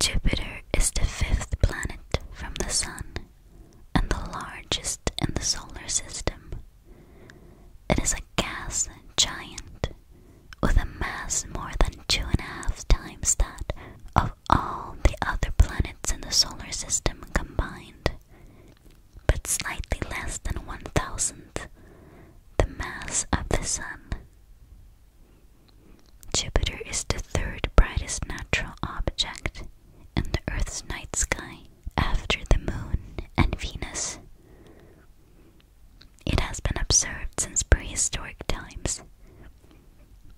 Jupiter is the fifth planet from the Sun and the largest in the solar system. It is a gas giant with a mass more than two and a half times that of all the other planets in the solar system combined, but slightly less than one thousandth the mass of the Sun. Jupiter is the third brightest natural object in the Earth's night sky after the Moon and Venus. It has been observed since prehistoric times,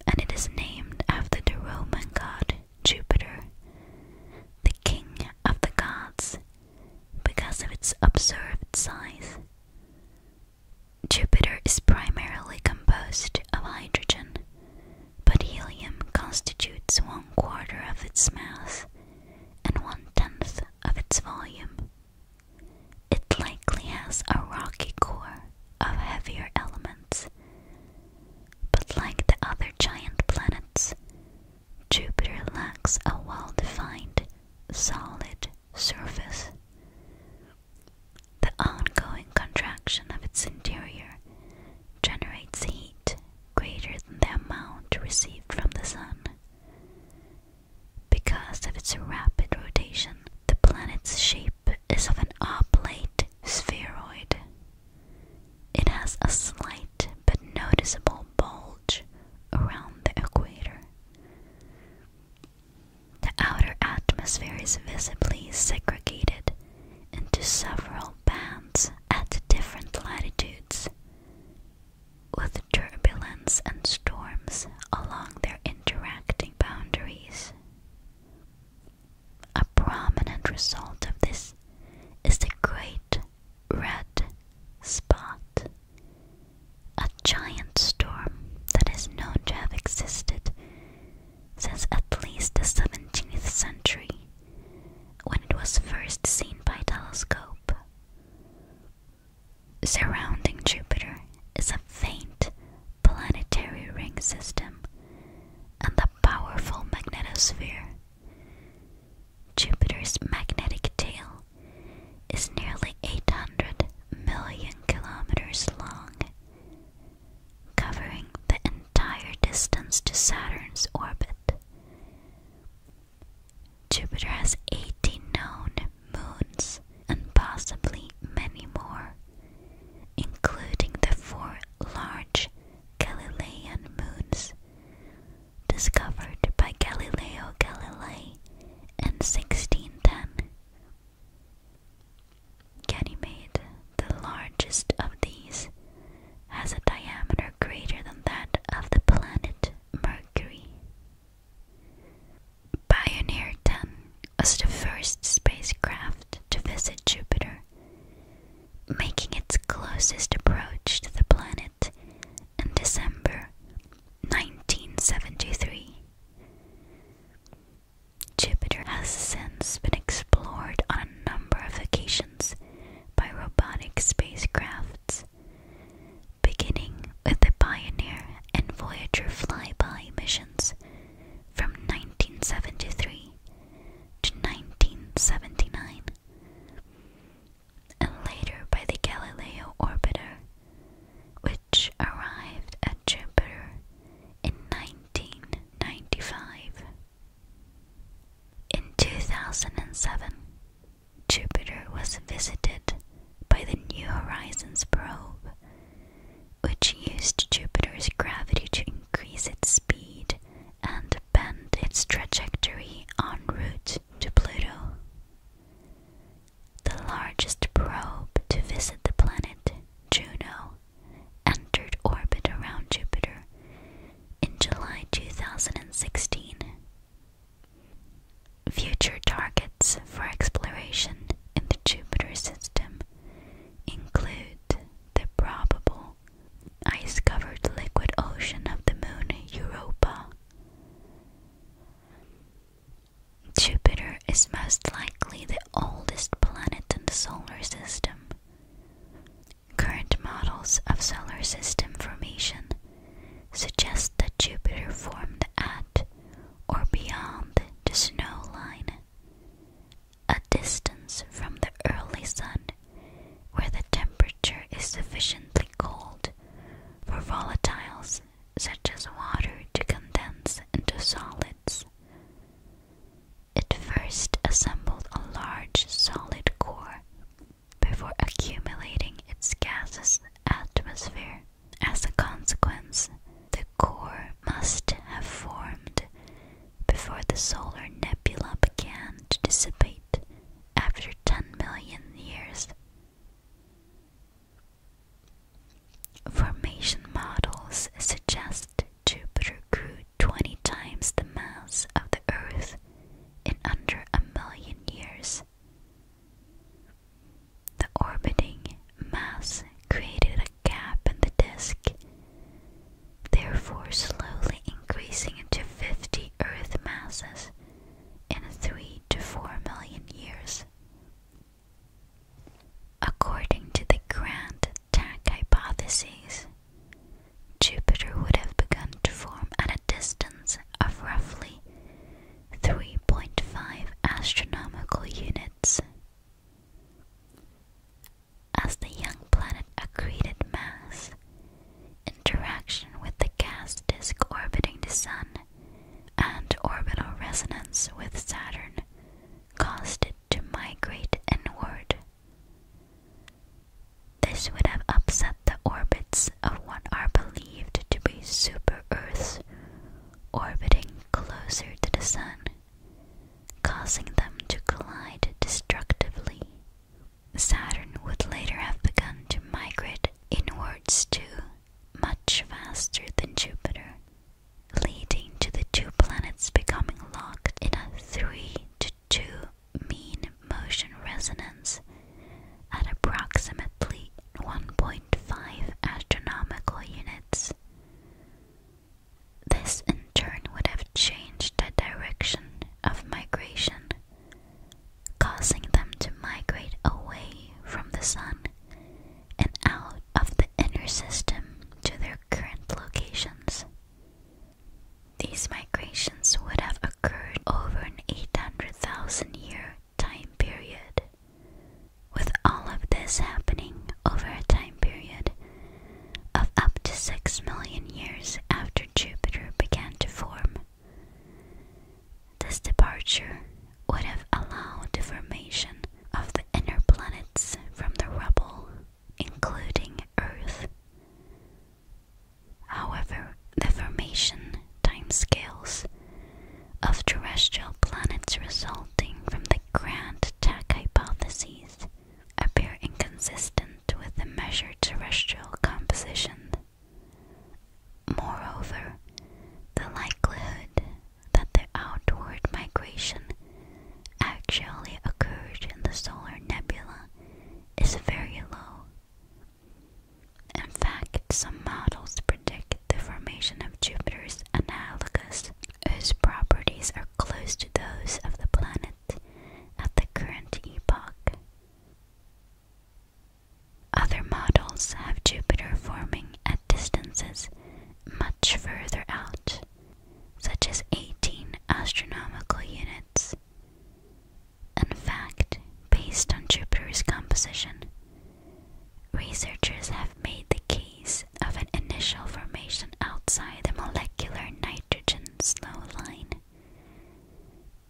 and it is named after the Roman god Jupiter, the king of the gods, because of its observed size. Jupiter is primarily composed of hydrogen, but helium constitutes one quarter of its mass and one tenth of its volume. It likely has a rocky core of heavier elements, but like the other giant planets, Jupiter lacks a well defined solid surface. The ongoing contraction of its interior generates heat greater than the amount received from the Sun. Because of its rapid rotation, the planet's shape is of an oblate spheroid. It has a slight but noticeable bulge around the equator. The outer atmosphere is visibly segregated into several bands at different latitudes, with turbulence and storms along their interacting boundaries. A prominent result of this is the great red spot a giant storm that is known to have existed since at least the 17th century, when it was first seen by telescope. Surrounding Jupiter is a faint planetary ring system and the powerful magnetosphere. Jupiter's magnetic tail is nearly 800 million kilometers long, covering the entire distance to Saturn's orbit. Jupiter has 18 known moons and possibly many more, including the four large Galilean moons discovered by Galileo Galilei in 1610. Ganymede, the largest of these, has a diameter greater than that of the planet Mercury. Pioneer 10 was the first spacecraft to visit Jupiter, making its closest approach to the planet in December 1973. Jupiter has since been explored on a number of occasions by robotic spacecrafts, beginning with the Pioneer and Voyager flyby missions from 1973 to 1979, and later by the Galileo orbiter, which which arrived at Jupiter in 1995. In 2007, Jupiter was visited by the New Horizons probe, which used Jupiter's gravity to increase its speed and bend its trajectory en route to Pluto. The largest probe to visit the planet, Juno, entered orbit around Jupiter in July 2016. Future targets for exploration in the Jupiter system include the probable ice covered liquid ocean of the moon Europa. Jupiter is most likely the oldest planet in the solar system. Current models of solar system formation suggest that Jupiter formed at or beyond the snow line, a distance from the early sun where the temperature is sufficiently cold for volatiles such as water, to condense into solids. It first assembled a large solid core before accumulating its gaseous atmosphere. As a consequence, the core must have formed before the solar nebula began to dissipate after 10 million years. Formation models suggest Jupiter grew 20 times the mass of the Earth in under a million years. The orbiting mass created a gap in the disk, therefore, slowly increasing into 50 Earth masses in 3 to 4 million years. According to the grand attack hypothesis, Jupiter would have begun to form at a distance of roughly 3.5 astronomical units. As the young planet accreted mass, interaction with the gas disk orbiting the Sun and orbital resonance with Saturn caused it to migrate inward. This would have upset the orbits of what are believed to be super Earths orbiting closer to the Sun, causing them to collide destructively. Saturn would later have begun to migrate inwards too, much faster than Jupiter, leading to the two planets becoming locked in a 3 to 2 mean motion resonance at approximately 1.5 astronomical units. This in turn would have changed the direction of migration, causing them to migrate away from the sun and out of the inner system to their current locations. These migrations would have occurred over an 800,000 year time period. With all of this happening over a time period of up to 6 million years after Jupiter began to form, this departure would have allowed the formation of the inner planets from the rubble, including Earth. However, the formation timescales of terrestrial planets resulting from the grand Tack hypotheses appear inconsistent with the measured terrestrial composition. Moreover, the likelihood that the outward migration actually occurred in the solar nebula is very low. In fact, some models predict the formation of Jupiter's analogus, whose properties are close to those of the planet at the current epoch. Other models have Jupiter forming at distances much much further out, such as 18 astronomical units. In fact, based on Jupiter's composition, researchers have made the case of an initial formation outside the molecular nitrogen slow line,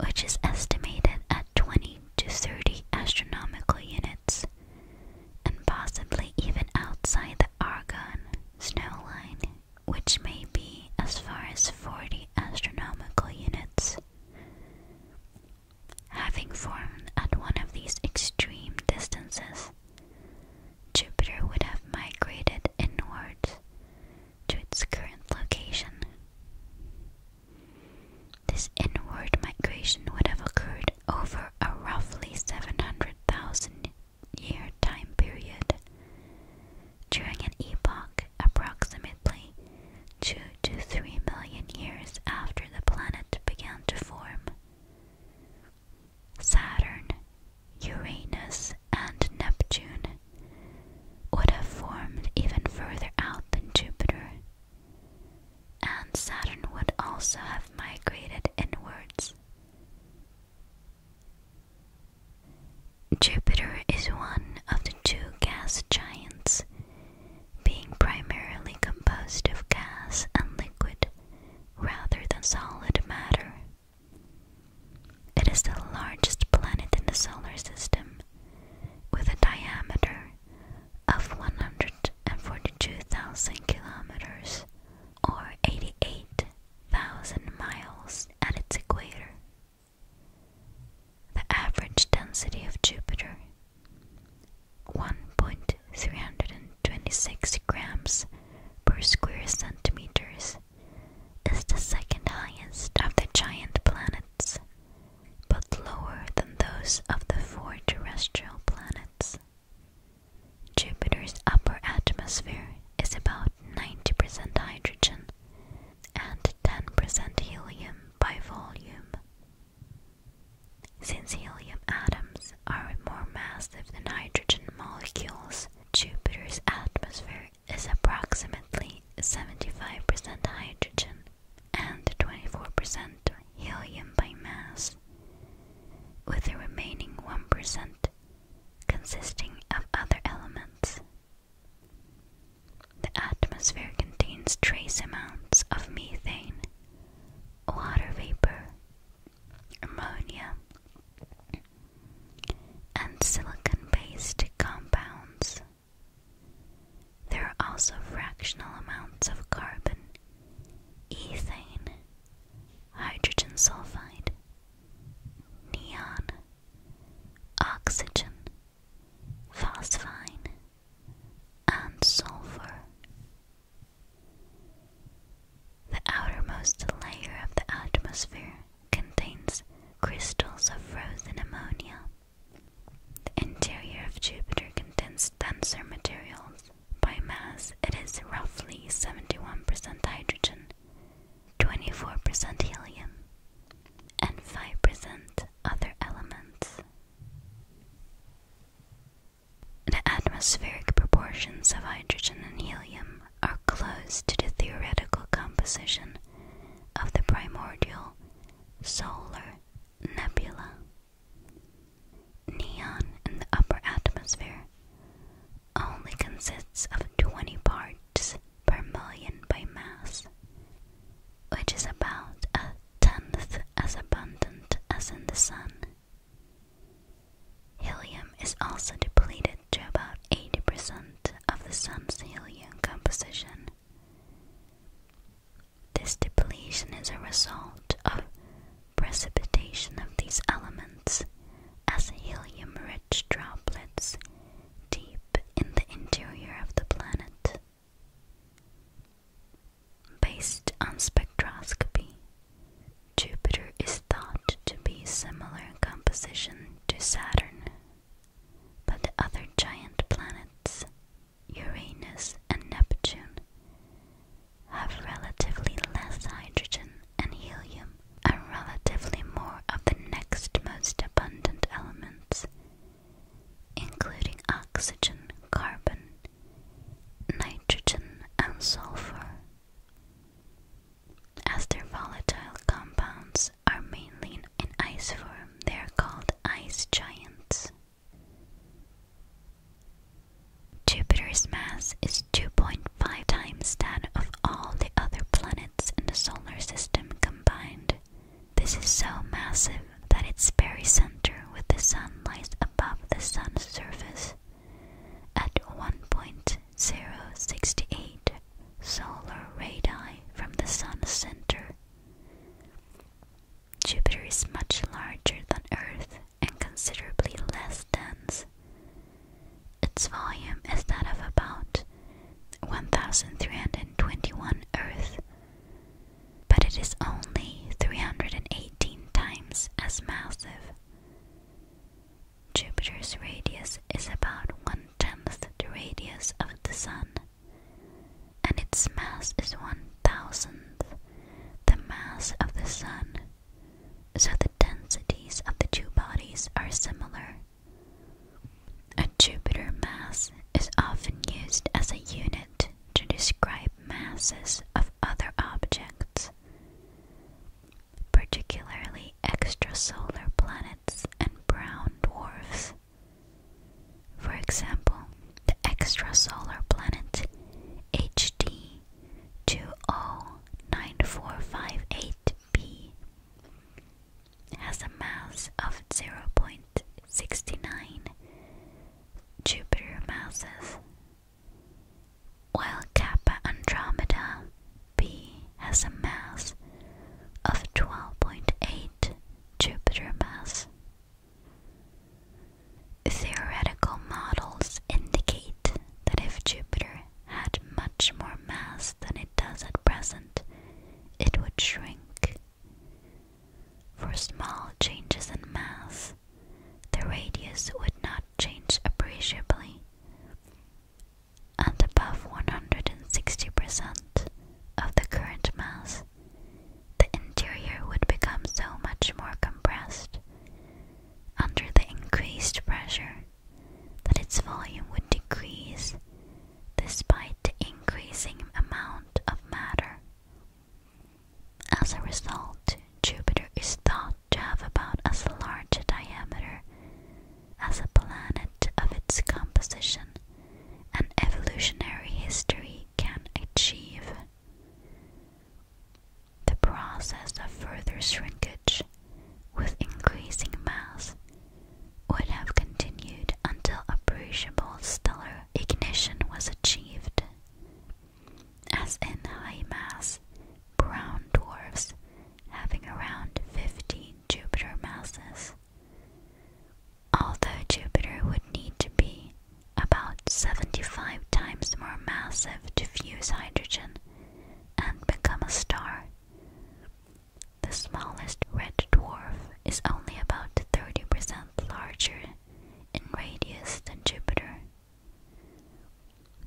which is estimated at 20 to 30 astronomical units and possibly even outside the Argonne snowline, which may be as far as 40 astronomical units. Having formed at one of these extreme distances, Jupiter would have migrated inwards to its current location. This inward migration would have occurred over a roughly 700,000 year time period. During an epoch approximately 2 to 3 million years after the planet began to form, Saturn, Uranus, and Neptune would have formed even further out than Jupiter and Saturn would also have migrated inwards. Jupiter is one of the two gas giants, being primarily composed of gas and liquid rather than solid matter. It is the largest planet in the solar system with a diameter of 100 forty-two thousand kilometers, or 88,000 miles at its equator. The average density of Jupiter 1.326 grams per square centimeters is the second highest of the giant planets, but lower than those of the four terrestrial planets. Jupiter's upper atmosphere is about 90% hydrogen and 10% helium by volume. Since helium atoms are more massive than hydrogen molecules, Jupiter's atmosphere is approximately 75% hydrogen and 24% helium by mass with the remaining 1% consisting of other elements. The atmosphere contains trace amounts of methane, water vapor, ammonia, and silicon based compounds. There are also fractional amounts of carbon ethane, hydrogen sulfide, neon, oxygen, phosphine, and sulfur. The outermost layer of the atmosphere contains crystals of frozen ammonia. The interior of Jupiter contains denser materials by mass, it is roughly 71% hydrogen, 24% helium, and 5% other elements. The atmospheric proportions of hydrogen and helium are close to the theoretical composition of the primordial solar nebula. Neon in the upper atmosphere only consists of 20 parts per million by mass, which is about a tenth as abundant as in the Sun. Helium is also depleted to about 80% of the Sun's helium composition. This depletion is a result of precipitation of these elements as helium rich droplets deep in the interior of the planet. Based on spectroscopy, Jupiter is thought to be similar in composition to Saturn, but the other giant planets Uranus, and Neptune have relatively less hydrogen and helium and relatively more of the next most abundant elements, including oxygen, carbon, nitrogen, and sulfur. As their volatile compounds are mainly in ice form, they are called ice giants. Jupiter's mass is 2.5 times that of all the other planets in the solar system combined. This is so massive that its very center with the sun lies above the sun's surface at 1.068 solar radii from the sun's center. Jupiter is much larger than Earth and considerably less dense. Its volume is that of about 1321 Earth, but it is only 318 times as massive. Jupiter's radius is about one tenth the radius of the Sun, and its mass is one thousandth the mass of the Sun, so the densities of the two bodies are similar. A Jupiter mass is often used as a unit to describe masses of other objects, particularly extrasolar planets and brown dwarfs. For example, the extrasolar planet HD 209458b has a mass of 0.69 Jupiter masses, while Kappa Andromeda b has a mass of 12.8 Jupiter masses. Theoretical models indicate that if Jupiter had much more mass than it does at present, it would shrink. For small changes in mass, the radius would not change appreciably, and above 160% of the current mass, the interior would become so much more compressed under the increased pressure that its volume would decrease despite the increasing amount of matter. As a result, Jupiter is thought to have about as large a diameter as a planet of its composition and evolutionary history can achieve. The process of further shrinkage with increasing mass would have continued until appreciable stellar ignition was achieved. As in high mass brown dwarfs having around 15 Jupiter masses. Although Jupiter would need to be about 75 times more massive to fuse hydrogen and become a star. The smallest red dwarf is only about 30% larger in radius than Jupiter.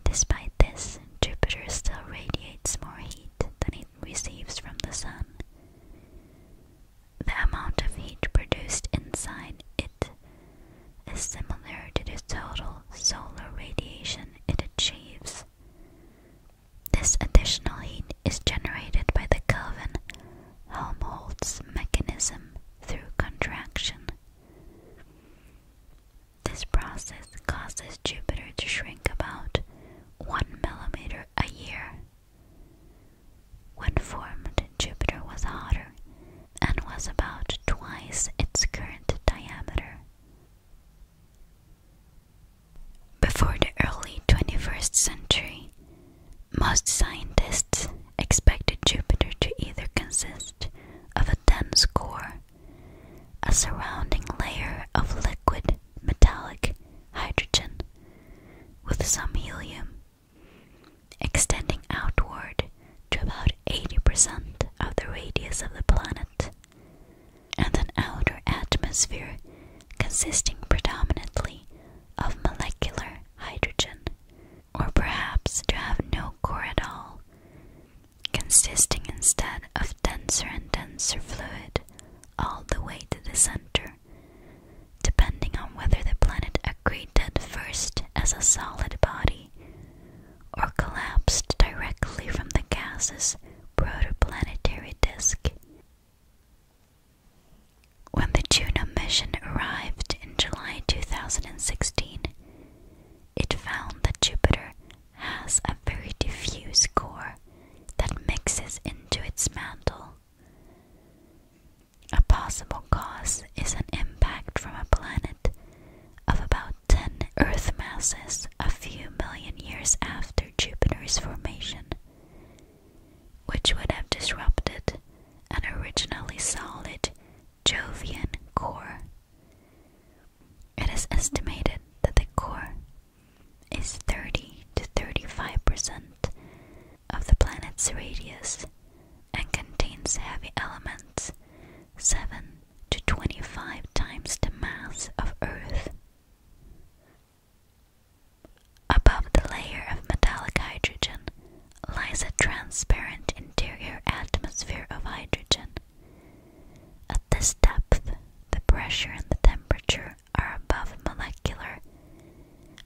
Despite this, Jupiter still radiates more heat than it receives from the Sun. The amount of heat produced inside it is similar to the total solar radiation it achieves. This additional heat is generated by the Kelvin Helmholtz mechanism through contraction. This process causes Jupiter to shrink about 1 millimeter a year. When formed, Jupiter was hotter and was about twice its current diameter. Before the early 21st century, most scientists expected Jupiter to either consist of a dense core, a surrounding layer of liquid metallic hydrogen with some helium, extending outward to about 80% of the radius of the planet, and an outer atmosphere consisting predominantly of molecular hydrogen, or perhaps to have no core at all, consisting instead of denser and denser fluid all the way to the center, depending on whether the planet accreted first as a solid body or collapsed directly from the gas's protoplanetary disk. When the Juno mission arrived in July 2016, it found that Jupiter has a very diffuse core that mixes into its mantle. A possible cause is an impact from a planet of about 10 Earth masses a few million years after Jupiter's formation, which would have disrupted an originally solid Jovian core. It is estimated that the core is 30 to 35 percent of the planet's radius and contains heavy elements 7 to 25 times the mass of Earth. Above the layer of metallic hydrogen lies a transparent interior atmosphere of hydrogen. At this depth, the pressure and the temperature are above molecular.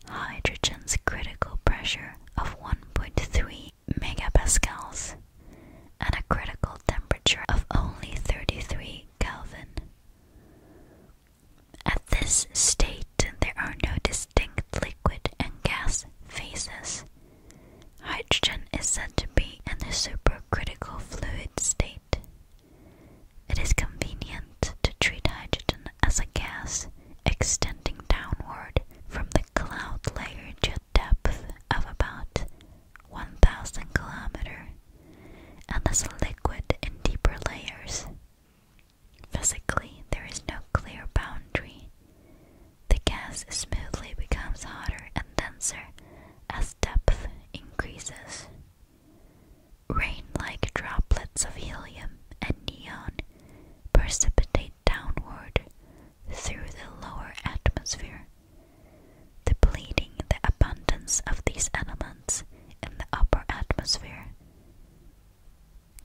Hydrogen's critical pressure of 1.3 megapascals at a critical temperature of only 33 Kelvin. At this state, there are no distinct liquid and gas phases. Hydrogen is said to be in the supercritical fluid state. It is convenient to treat hydrogen as a gas extending downward from the cloud layer to a depth of about 1000 kilometers, and as a liquid in deeper layers. Physically, there is no clear boundary. The gas smoothly becomes hotter and denser as depth increases. Rain like droplets of helium and neon precipitate downward through the lower atmosphere. the Depleting the abundance of these elements in the upper atmosphere.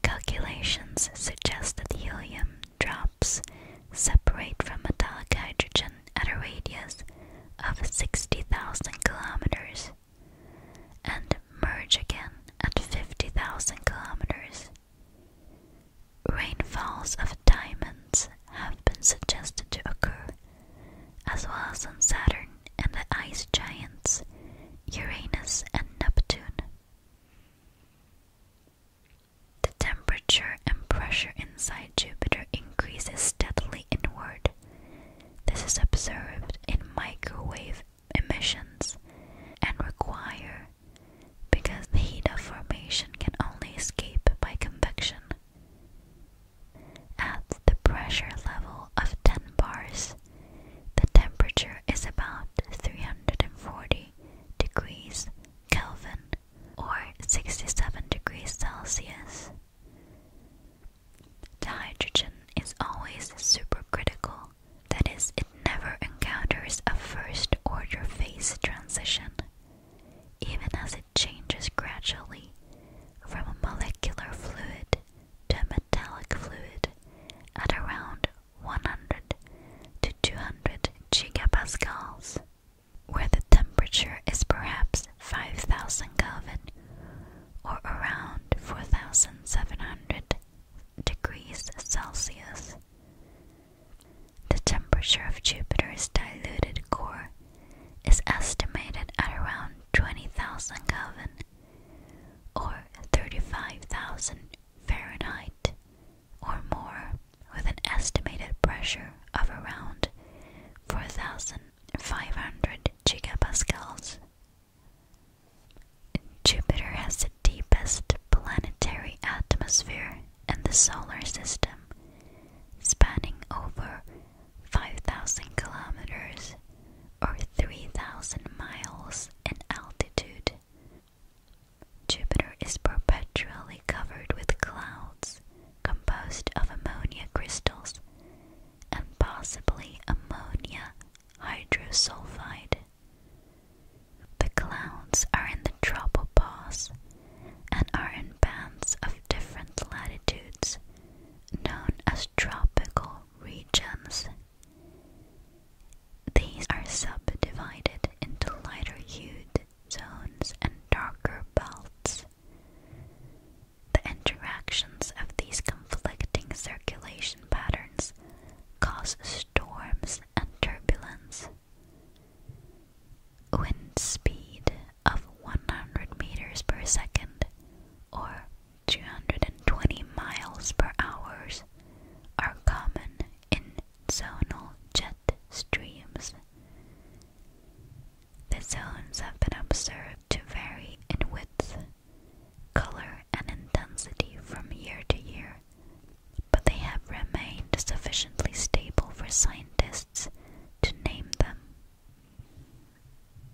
Calculations suggest that helium drops separate from metallic hydrogen at a radius of 60,000 kilometers and merge again at 50,000 kilometers. Rainfalls of diamonds have been suggested to occur, as well as on Saturn and the ice giants Uranus and Neptune. The temperature and pressure inside Jupiter increases steadily inward. This is observed in microwave emissions and require because the heat of formation can only escape by convection. At the pressure level of 10 bars, the temperature is about 340 degrees Kelvin or 67 degrees Celsius. The hydrogen is always supercritical that is, it never encounters a first order phase transition, even as it changes gradually from a molecular fluid to a metallic fluid at around 100 to 200 gigapascals, where the temperature is perhaps 5000 Kelvin or around 4700 degrees Celsius. The temperature of Jupiter's diluted core is estimated at around 20,000 Kelvin or 35,000 Fahrenheit or more, with an estimated pressure of around 4,500 gigapascals. Jupiter has the deepest planetary atmosphere in the solar system, spanning over 5,000 kilometers or 3,000 miles in altitude. Jupiter is perpetually covered with clouds composed of ammonia crystals and possibly ammonia hydrosulfide. The clouds are in the tropopause and are in bands of different latitudes, known as tropical regions. These are subdivided into lighter hued zones and darker belts. The interactions of these conflicting circulation patterns cause storms and turbulence. Wind speed of 100 meters per second or 220 miles per hour are common in zonal jet streams. The zones have been observed to vary in width, color, and intensity from year to year but they have remained sufficiently stable for scientists to name them.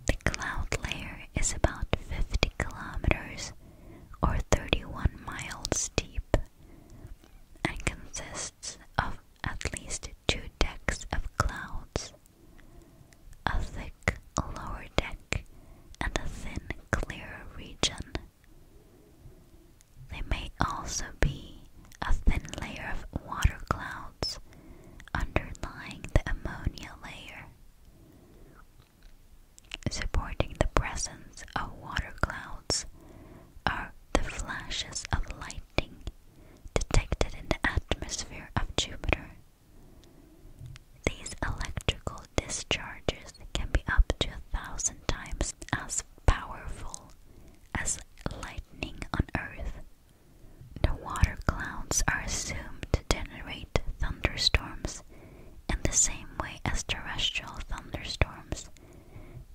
The cloud layer is about 50 kilometers or 31 miles deep and consists of at least two decks of clouds a thick lower deck and a thin clear region there may also be a thin layer of water clouds underlying the ammonia layer. Supporting the presence of water clouds are the flashes of lightning detected in the atmosphere of Jupiter. These electrical discharges can be up to a thousand times as powerful as lightning on Earth. The water clouds are assumed to generate thunderstorms in the same way as terrestrial thunderstorms,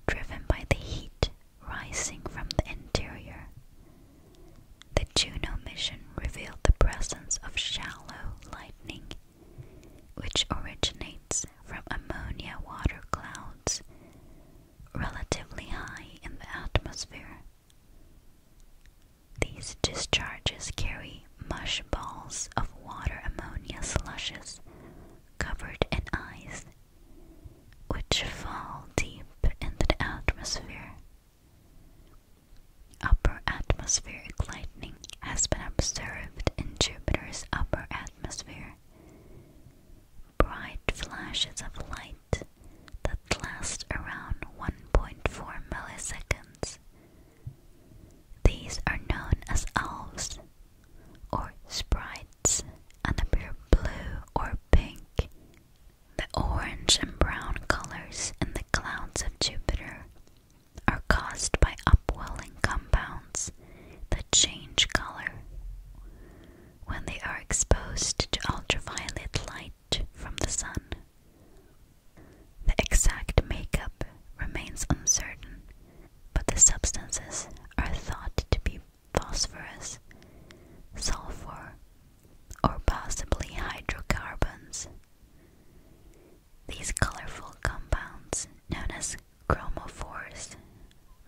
driven by the heat rising from the interior. The Juno mission revealed the presence of shallow lightning which originates from ammonia water clouds relatively high in the atmosphere. These discharges carry mush balls of water ammonia slushes covered in ice, which fall deep in the atmosphere. Upper atmospheric lightning has been observed in Jupiter's upper atmosphere. Bright flashes of light that last around 1.4 milliseconds. These are known as elves or sprites and appear blue or pink. The orange and brown colors in the clouds of Jupiter are caused by upwelling compounds that change color when they are exposed to ultraviolet light from the sun. The exact makeup remains uncertain, but the substances are thought to be phosphorus, sulfur, or possibly hydrocarbons. These colorful compounds, known as chromophores,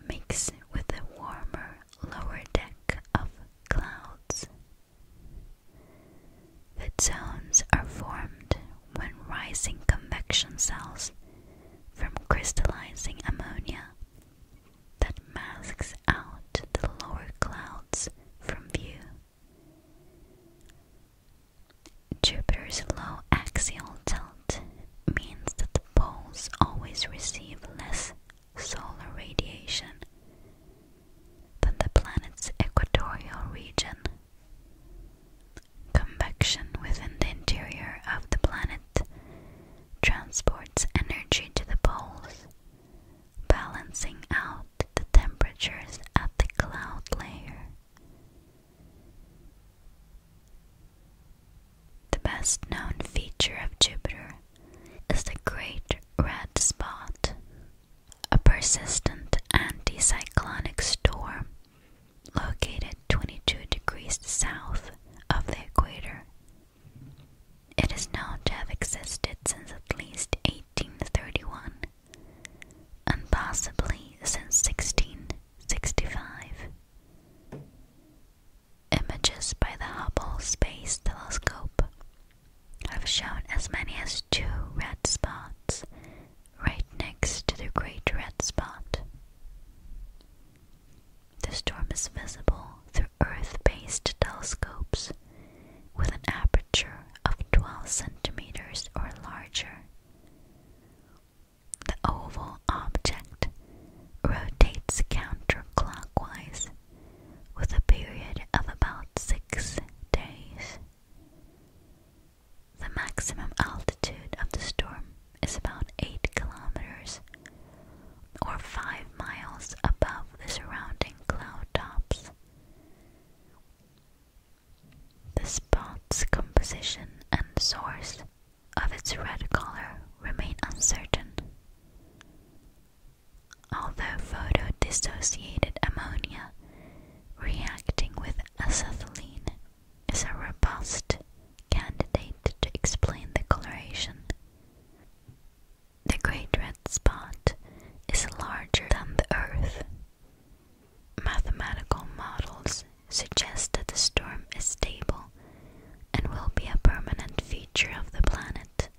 mix with the warmer lower deck of clouds. The zones are formed when rising convection cells from crystallizing ammonia that masks out the lower clouds from view. Jupiter's low axial tilt means that the poles always receive less solar radiation than the planet's equatorial region. Convection within the interior of the planet transports energy to the poles, balancing out the temperatures at the cloud layer. The best known feature of Jupiter is the Great Red Spot, a persistent anticyclonic storm located 22 degrees south of the equator. It is known to have existed since at least 1831 and possibly since 1665. Images by the Hubble Space Telescope have shown as many as two red spots right next to the Great Red Spot. The storm is visible through Earth based telescopes with an aperture of 12 centimeters or larger. The oval object rotates counterclockwise with a period of about six days. The maximum altitude of the storm is about 8 kilometers or 5 miles above the surrounding cloud tops. The spot's composition and source of its red color remain uncertain. Although photodissociated ammonia reacting with acetylene is a robust candidate to explain the coloration. The Great Red Spot is larger than the Earth Mathematical models suggest that the storm is stable and will be a permanent feature of the planet.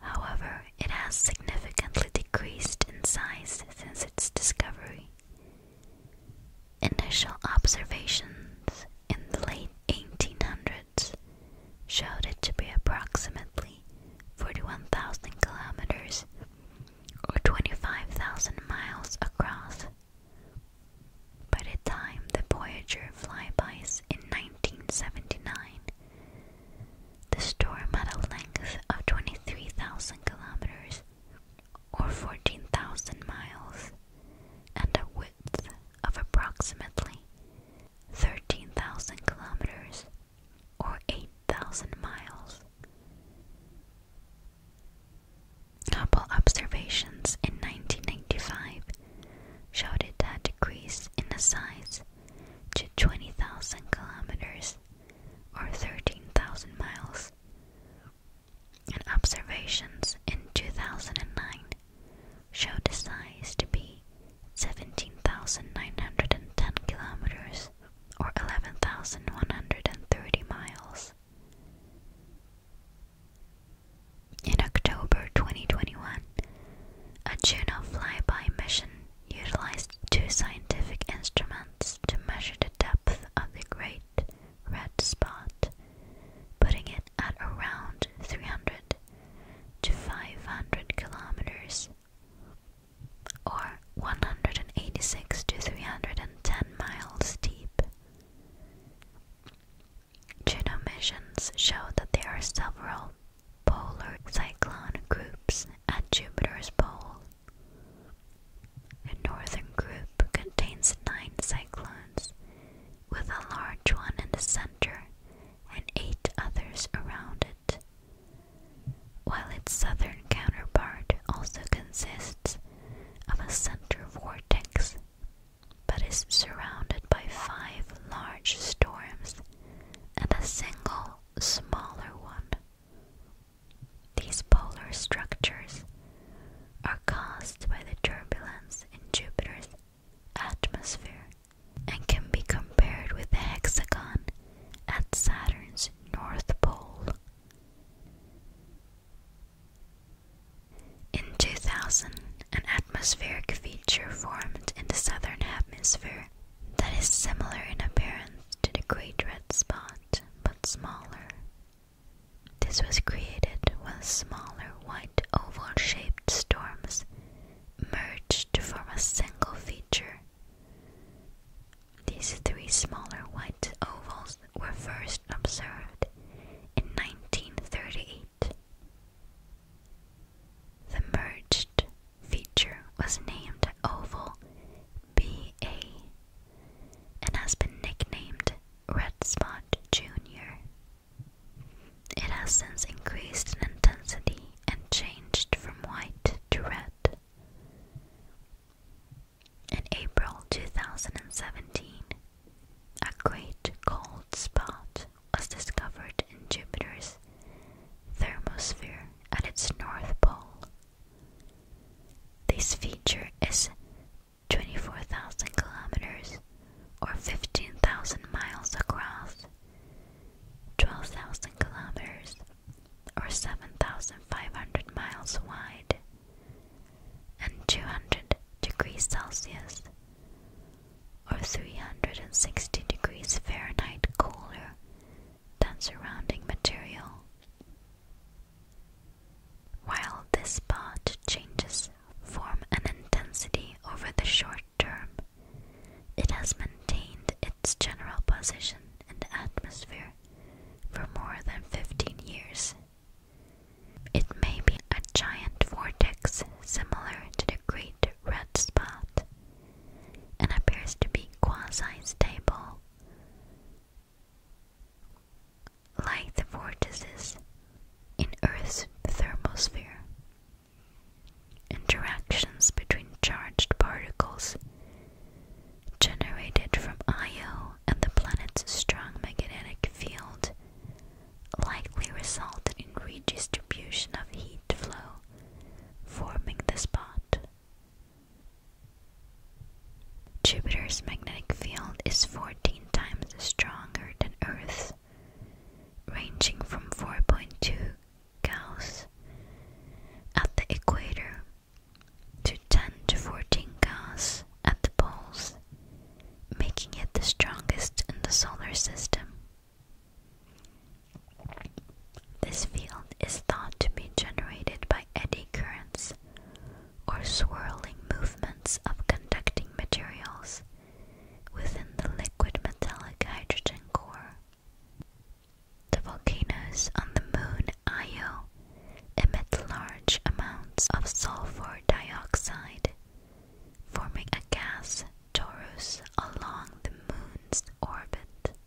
However, it has significantly decreased in size since its discovery. Initial observations in the late 1800s showed it to be approximately 41,000 kilometers or 25,000 miles across. By the time the Voyager flybys in 1979, the storm had a length of 23,000 kilometers or 14,000 miles and a width of approximately 13,000 kilometers or 8,000 miles. Hubble observations in 1995 showed it to decrease in size to 20,000 kilometers or 13,000 miles, and observations in 2009 showed the size to be 17,910 kilometers or 11,130 miles. In October 2021, a Juno flyby mission utilized two scientific instruments to measure the depth of the Great Red Spot, putting it at around 300 to 500 kilometers or 186 to 310 miles deep. Juno missions show that there are several polar cyclone groups at Jupiter's pole. A northern group contains nine cyclones, with a large one in the center and eight others around it while its southern counterpart also consists of a center vortex but is surrounded by five large storms and a single smaller one. These polar structures are caused by the turbulence in Jupiter's atmosphere and can be compared with the hexagon at Saturn's north pole. In 2000, an atmospheric feature formed in the southern hemisphere that is similar in appearance to the Great Red Spot but smaller. This was created when smaller white oval shaped storms merged to form a single feature. These three smaller white ovals were first observed in 1938. The merged feature was named oval BA and has been nicknamed Red Spot Jr. It has since increased in intensity and changed from white to red. In April 2017, a great cold spot was discovered in Jupiter's thermosphere at its north pole. This feature is 24,000 kilometers or 15,000 miles across, 12,000 kilometers or 7,500 miles wide, and 200 degrees Celsius, or 360 degrees Fahrenheit cooler than surrounding material. While this spot changes form and intensity over the short term, it has maintained its general position in the atmosphere for more than 15 years. It may be a giant vortex similar to the Great Red Spot and appears to be quasi stable. Like the vortices in Earth's thermosphere, interactions between charged particles generated from Io and the planet's strong magnetic field, likely resulted in redistribution of heat flow, forming the spot. Jupiter's magnetic field is 14 times stronger than Earth's, ranging from 4.2 Gauss at the equator to 10 to 14 Gauss at the poles, making it the strongest in the solar system. This field is thought to be generated by eddy currents or swirling movements of conducting materials within the liquid metallic hydrogen core. The volcanoes on the moon Io emit large amounts of sulfur dioxide, forming a gas torus along the moon's orbit.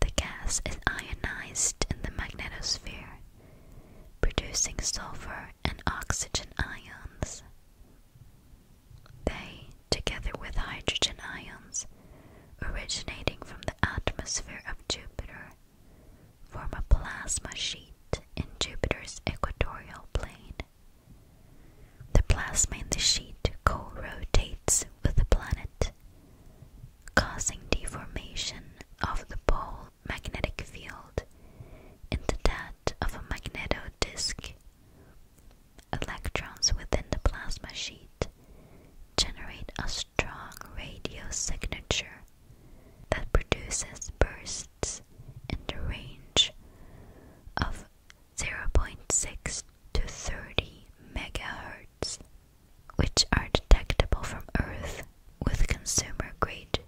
The gas is ionized in the magnetosphere, producing sulfur and oxygen ions. They together with hydrogen ions originating from the atmosphere of Jupiter, form a plasma sheet in Jupiter's equatorial plane. The plasma in the sheet co rotates with the planet, causing deformation of the pole magnetic field into that of a magnetodisk. Electrons within the plasma sheet generate a strong radio signature that produces bursts in the range of 0.6 to 30 megahertz, which are detectable from Earth with consumer grade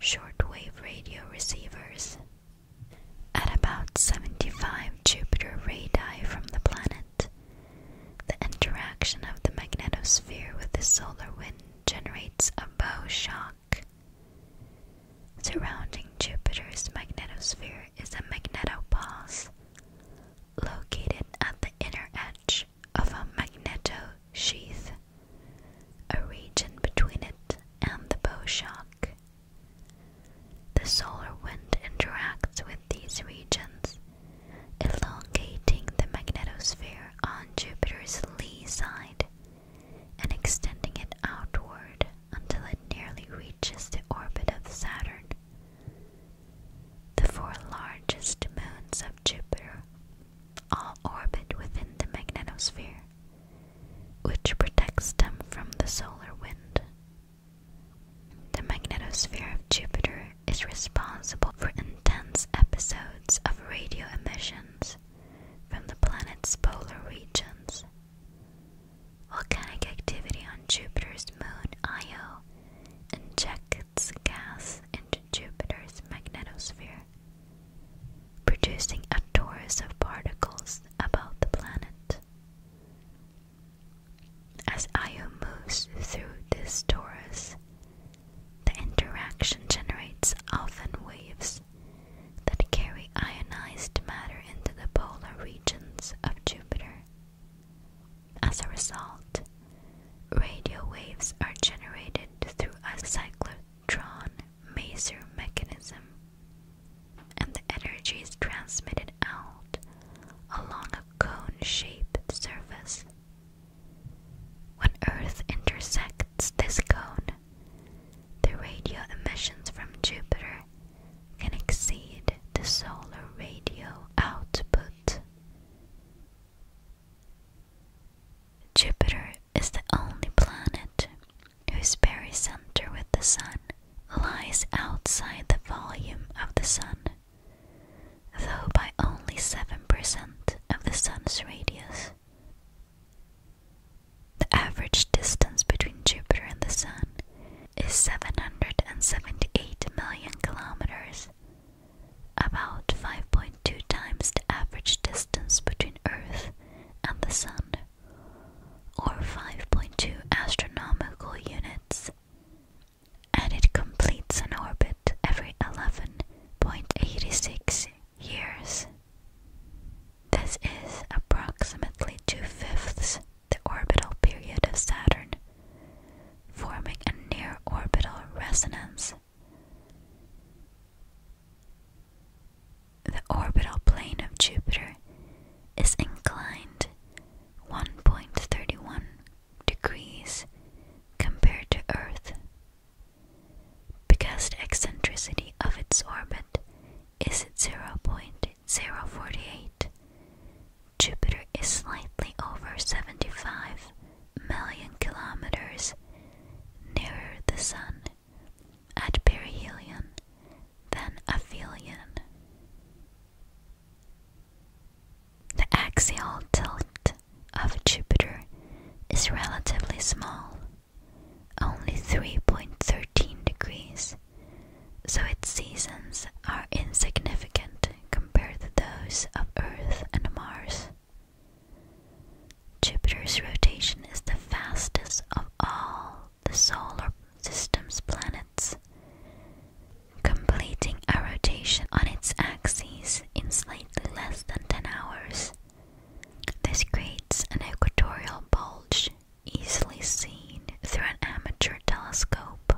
shortwave radio receivers. At about 75 Jupiter radii from the planet, the interaction of the magnetosphere with the solar wind generates a bow shock. Surrounding Jupiter's magnetosphere is a magnetopause located at the inner edge of a magnetosheath, a region between it and the bow shock. The solar wind interacts with these regions, elongating the magnetosphere on Jupiter's lee side and extending it outward until it nearly reaches the orbit of Saturn. The four largest moons of Jupiter all orbit within the magnetosphere, which protects them from the solar wind the magnetosphere of Jupiter is responsible for intense episodes of radio emissions from the planet's polar regions. Volcanic activity on Jupiter's moon Io injects gas into Jupiter's magnetosphere, producing a torus of particles about the planet. As Io moves through this torus, the interaction generates often waves that carry ionized matter into the polar regions of Jupiter. As a result, radio waves are generated through a cyclotron maser mechanism, and the energy is transmitted out along a cone-shaped surface. When Earth intersects this cone, the radio emissions from Jupiter can exceed the solar radio output. Jupiter is the only planet whose very center with the Sun lies outside the volume of the Sun though by only 7% of the Sun's radius. The average distance between Jupiter and the Sun is 778 million kilometers, about 5.2 times the average distance between Earth and the Sun, or 5.2 astronomical units and it completes an orbit every 11.86 years. This is approximately two fifths the orbital period of Saturn, forming a near orbital resonance. The orbital plane of Jupiter is inclined 1.31 degrees compared to Earth. Because the eccentricity of its orbit is at 0.048, Jupiter is slightly over 75 million kilometers nearer the Sun at perihelion than aphelion. The axial tilt of Jupiter is relatively small, only 3.13 degrees, so its seasons are insignificant compared to those of Earth and Mars. Jupiter's rotation is the fastest of all the solar system's planets, completing a rotation on its axis in slightly less than 10 hours. This creates an equatorial bulge easily seen through an amateur telescope.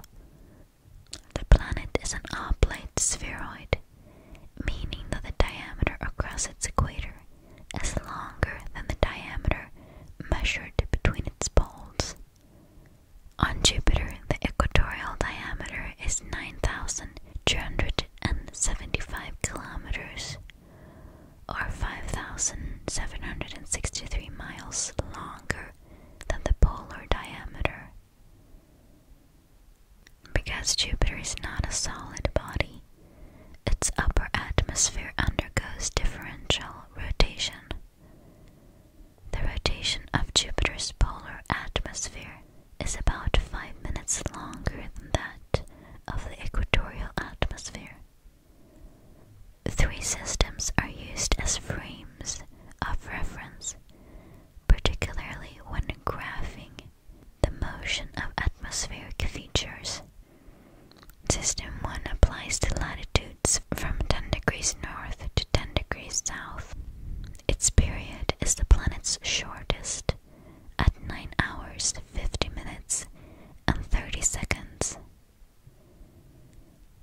The planet is an oblate spheroid, meaning that the diameter across its equator is longer than the diameter measured between its poles. On Jupiter, the equatorial diameter is 9,275 kilometers or 5,763 miles longer than the polar diameter. Because Jupiter is not a solid body, its upper atmosphere undergoes differential rotation. The rotation of Jupiter's polar atmosphere is about 5 minutes longer than that of the equatorial atmosphere. Three systems are used as frames of reference, particularly when graphing the motion of atmospheric features. System 1 applies to latitude from 10 degrees north to 10 degrees south. Its period is the planet's shortest, at 9 hours 50 minutes and 30 seconds.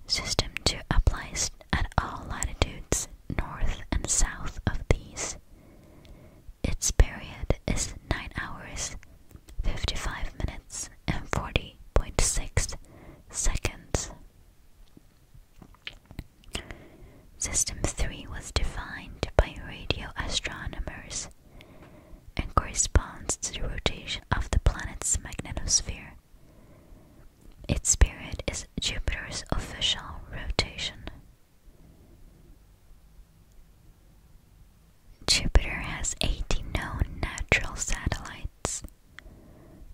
System 2 applies at all latitudes north and south of these. Its period is 9 hours 55 minutes and 40.6 seconds. System 3 was defined by radio astronomers and corresponds to the rotation of the planet's magnetosphere. Its period is Jupiter's official rotation. Jupiter has 80 known natural satellites,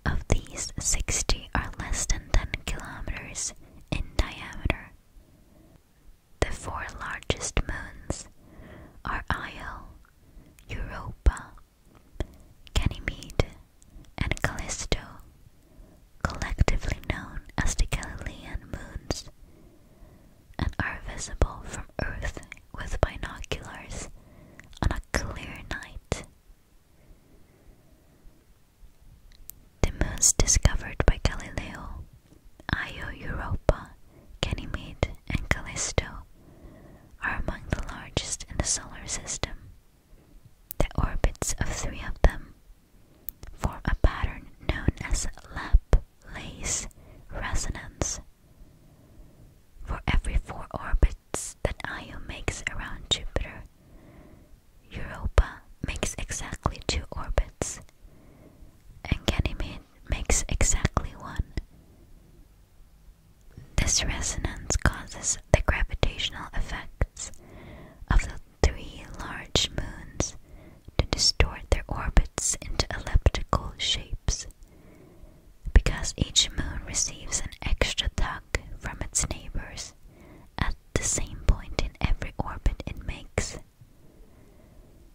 of these, 60 are less than 10 kilometers in diameter. The four largest moons are Io, Europa, Ganymede, and Callisto, collectively known as the Galilean moons, and are visible from Earth with binoculars on a clear night. The moons discovered by Galileo, Io Europa, Ganymede, and Callisto, are among the largest in the solar system. The orbits of three of them form a pattern known as Laplace resonance. For every four orbits, that Io makes around Jupiter, Europa makes exactly two orbits, and Ganymede makes exactly one. This resonance causes the gravitational effects of the three large moons to distort their orbits into elliptical shapes because each moon receives an extra tug from its neighbors at the same point in every orbit it makes.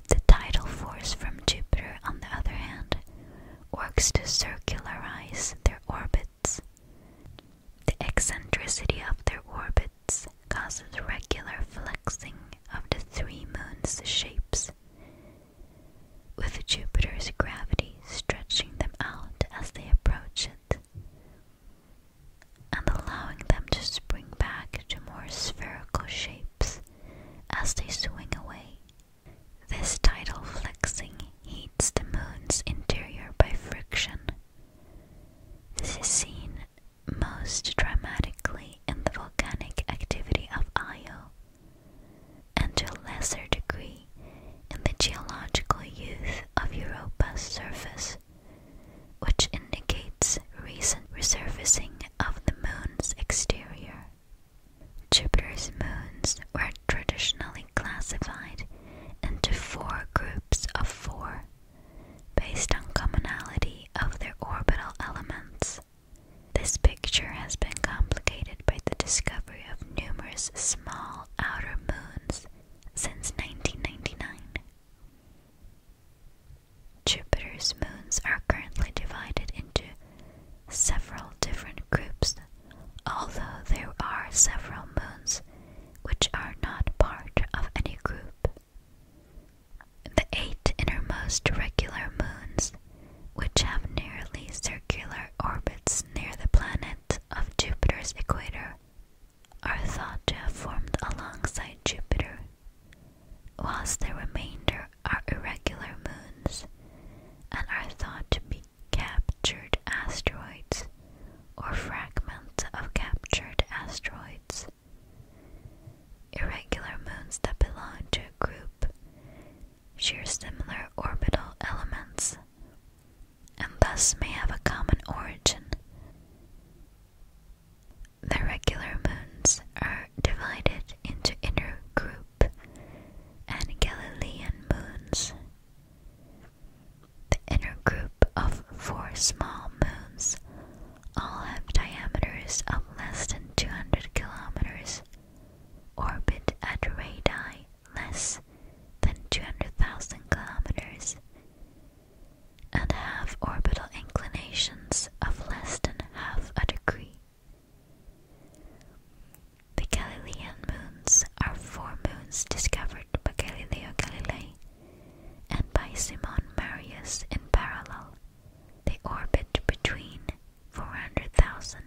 The tidal force from Jupiter, on the other hand, works to circularize their orbits. The eccentricity of their orbits causes regular flexing of the three moons' shapes with Jupiter's gravity stretching them out as they approach it and allowing them to spring back to more spherical shapes as they swing away. This tidal flexing heats the moon's interior by friction. This is seen most dramatically in the volcanic activity of Io, and to a lesser degree in the geological youth of Europa's surface, which indicates recent resurfacing of the moon's exterior. Jupiter's moons were traditionally classified into four groups of four based on commonality of their orbital elements. This picture has been complicated by the discovery of numerous small outer moons since 1999. Jupiter's moons are currently divided into several different groups, although there are several moons which are not part of any group. The eight innermost regular moons which have nearly circular orbits near the planet of Jupiter's equator, are thought to have formed alongside Jupiter, whilst the remainder are irregular moons and are thought to be captured asteroids or fragments of captured asteroids. Irregular moons that belong to a group share similar orbital elements and thus may have a common origin. The regular moons are divided into inner group and Galilean moons. The inner group of four small moons all have diameters of less than 200 kilometers, orbit at radii less than 200,000 kilometers and have orbital inclinations of less than half a degree. The Galilean moons are four moons discovered by Galileo Galilei and by Simon Marius in parallel. They orbit between 400,000,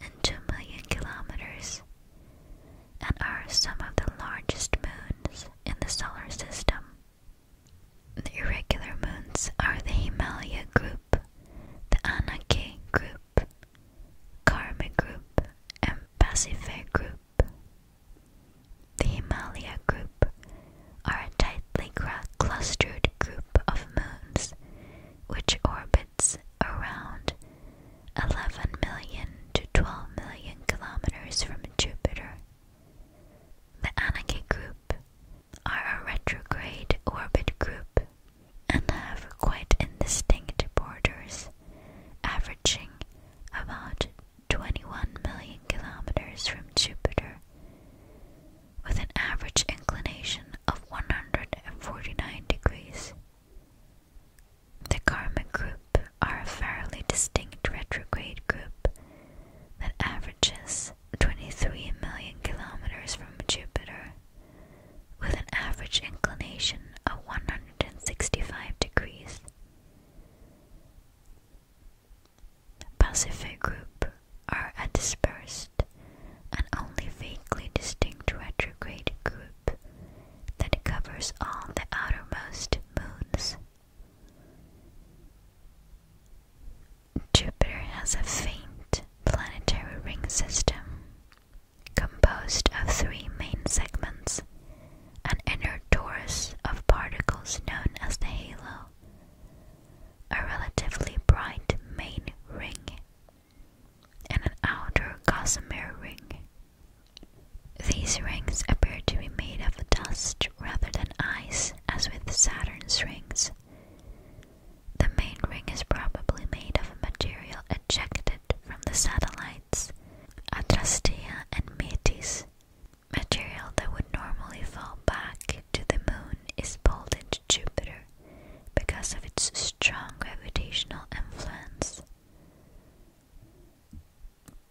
and kilometers, and are some of the largest moons in the solar system. The irregular moons are the Himalaya group, the Anake group, Karma group, and Pacific group. The Himalaya group are a tightly clustered group of moons which orbit around 11 million to 12 million kilometers from Jupiter. The Ananke group are a retrograde orbit group and have quite indistinct borders, averaging about 21 million kilometers from Jupiter, with an average inclination of 149 degrees. The karma group are a fairly distinct retrograde group that averages 23 million kilometers from Jupiter, with an average inclination of 165 degrees. Pacific group are a dispersed an only vaguely distinct retrograde group that covers all the outermost moons. Jupiter has a faint planetary ring system composed of three main segments an inner torus of particles known as the halo, a relatively bright main ring, and an outer gossamer ring. These rings appear to be made of dust rather than ice, as with Saturn's rings. The main ring is probably made of material ejected from the satellites, Adrastea and Metis. Material that would normally fall back to the moon is pulled Jupiter because of its strong gravitational influence.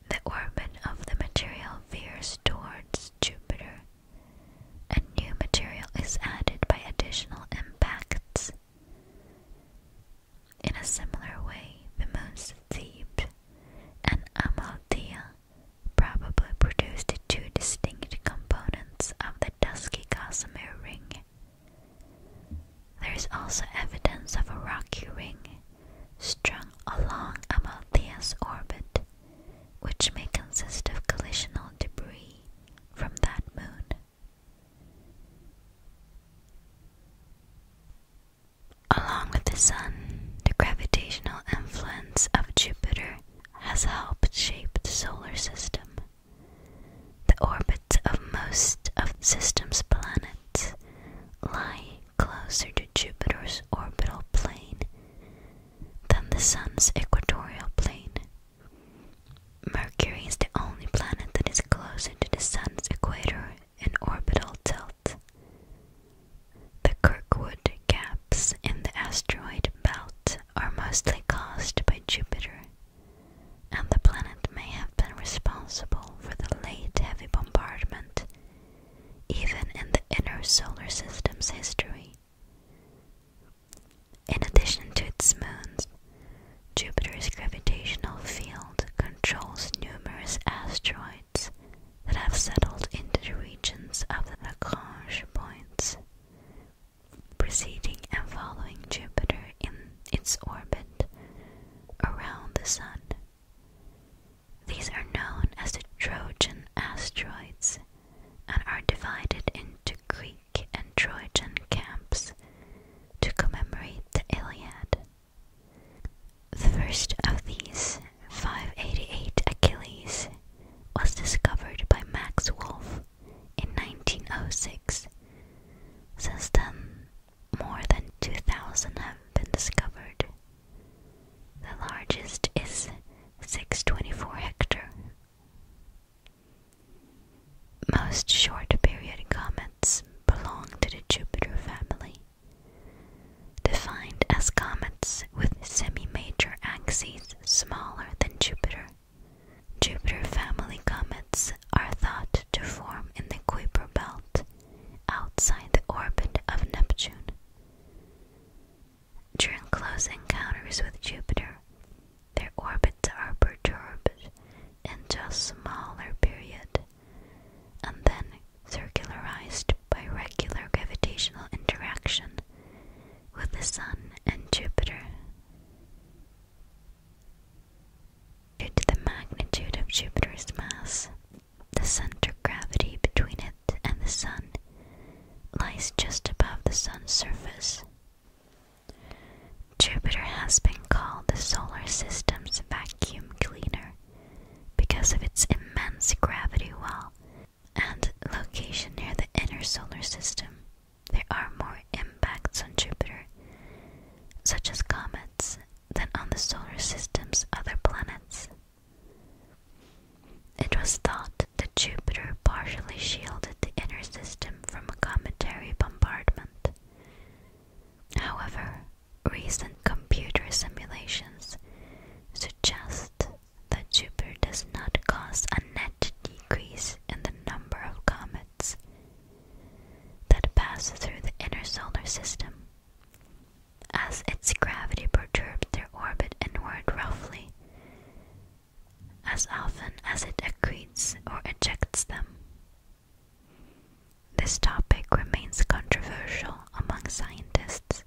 The orbit of the material veers towards Jupiter, and new material is added by additional impacts. In a similar way, the moons Thebe and Amalthea probably produced two distinct components of the dusky Cosmere ring. There is also evidence of a rocky ring strung along Amalthea's orbit, which may consist of collisional debris from that moon. Along with the Sun, the gravitational influence of Jupiter has helped shape the solar system. The orbits of most of the system's planets lie closer to Jupiter's orbital plane than the Sun's equatorial plane. Mercury is the only planet that is closer to the Sun's equator in orbital tilt. The Kirkwood gaps in the asteroid belt are mostly caused by Jupiter and the planet may have been responsible for the late heavy bombardment, even in the inner solar system's history. In addition to its moons, Jupiter's gravitational field controls numerous asteroids that have settled into the regions of the Lagrange points, preceding and following Jupiter in its orbit around the Sun. These are known as the Trojan asteroids and are divided into Greek and Trojan camps to commemorate the Iliad. The first of these, 588 Achilles, was discovered by Max Wolf in 1906. Since then, more than 2,000 have been discovered. The largest is 624 Hector. Most short period comets belong to the Jupiter family, defined as comets with semi major axes smaller than Jupiter. Jupiter family comets are thought to form in the Kuiper belt outside the orbit of Neptune. During close encounters with Jupiter, their orbits are perturbed into a smaller period and then circularized by regular gravitational interaction with the Sun and Jupiter. Due to the magnitude of Jupiter's mass, the center of gravity between it and the Sun lies just above the Sun's surface. Jupiter has been called the solar system's vacuum cleaner because of its immense gravity well and location near the inner solar system. There are more impacts on Jupiter, such as comets, than on the solar system's other planets. It was thought that Jupiter partially shielded the inner system from a cometary bombardment. However, recent computer simulations suggest that Jupiter does not cause a net decrease in the number of comets that pass through the inner solar system. As its gravity perturbs their orbit inward roughly, as often as it accretes or ejects them. This topic remains controversial among scientists,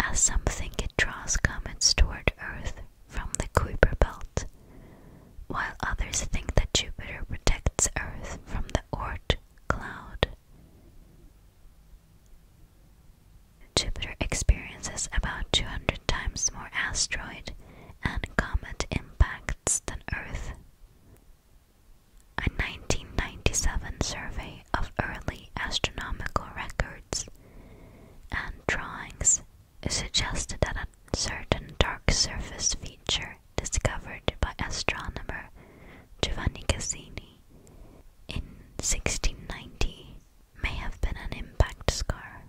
as some think it draws comets toward Earth from the Kuiper Belt, while others think that Jupiter protects Earth from the Oort cloud. Jupiter experiences about 200 times more asteroid and comet impacts than Earth. A 1997 survey of early astronomical records and drawings suggested that a certain dark surface feature discovered by astronomer Giovanni Cassini in 1690 may have been an impact scar.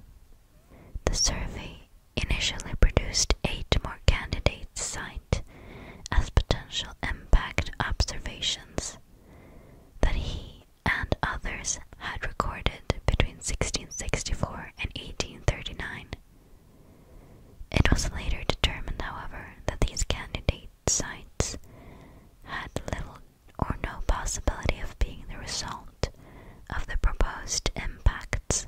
The survey initially produced eight more candidates cited as potential impact observations that he and others had recorded between 1664 and 1839. It was later determined, however, that these candidate sites had little or no possibility of being the result of the proposed impacts.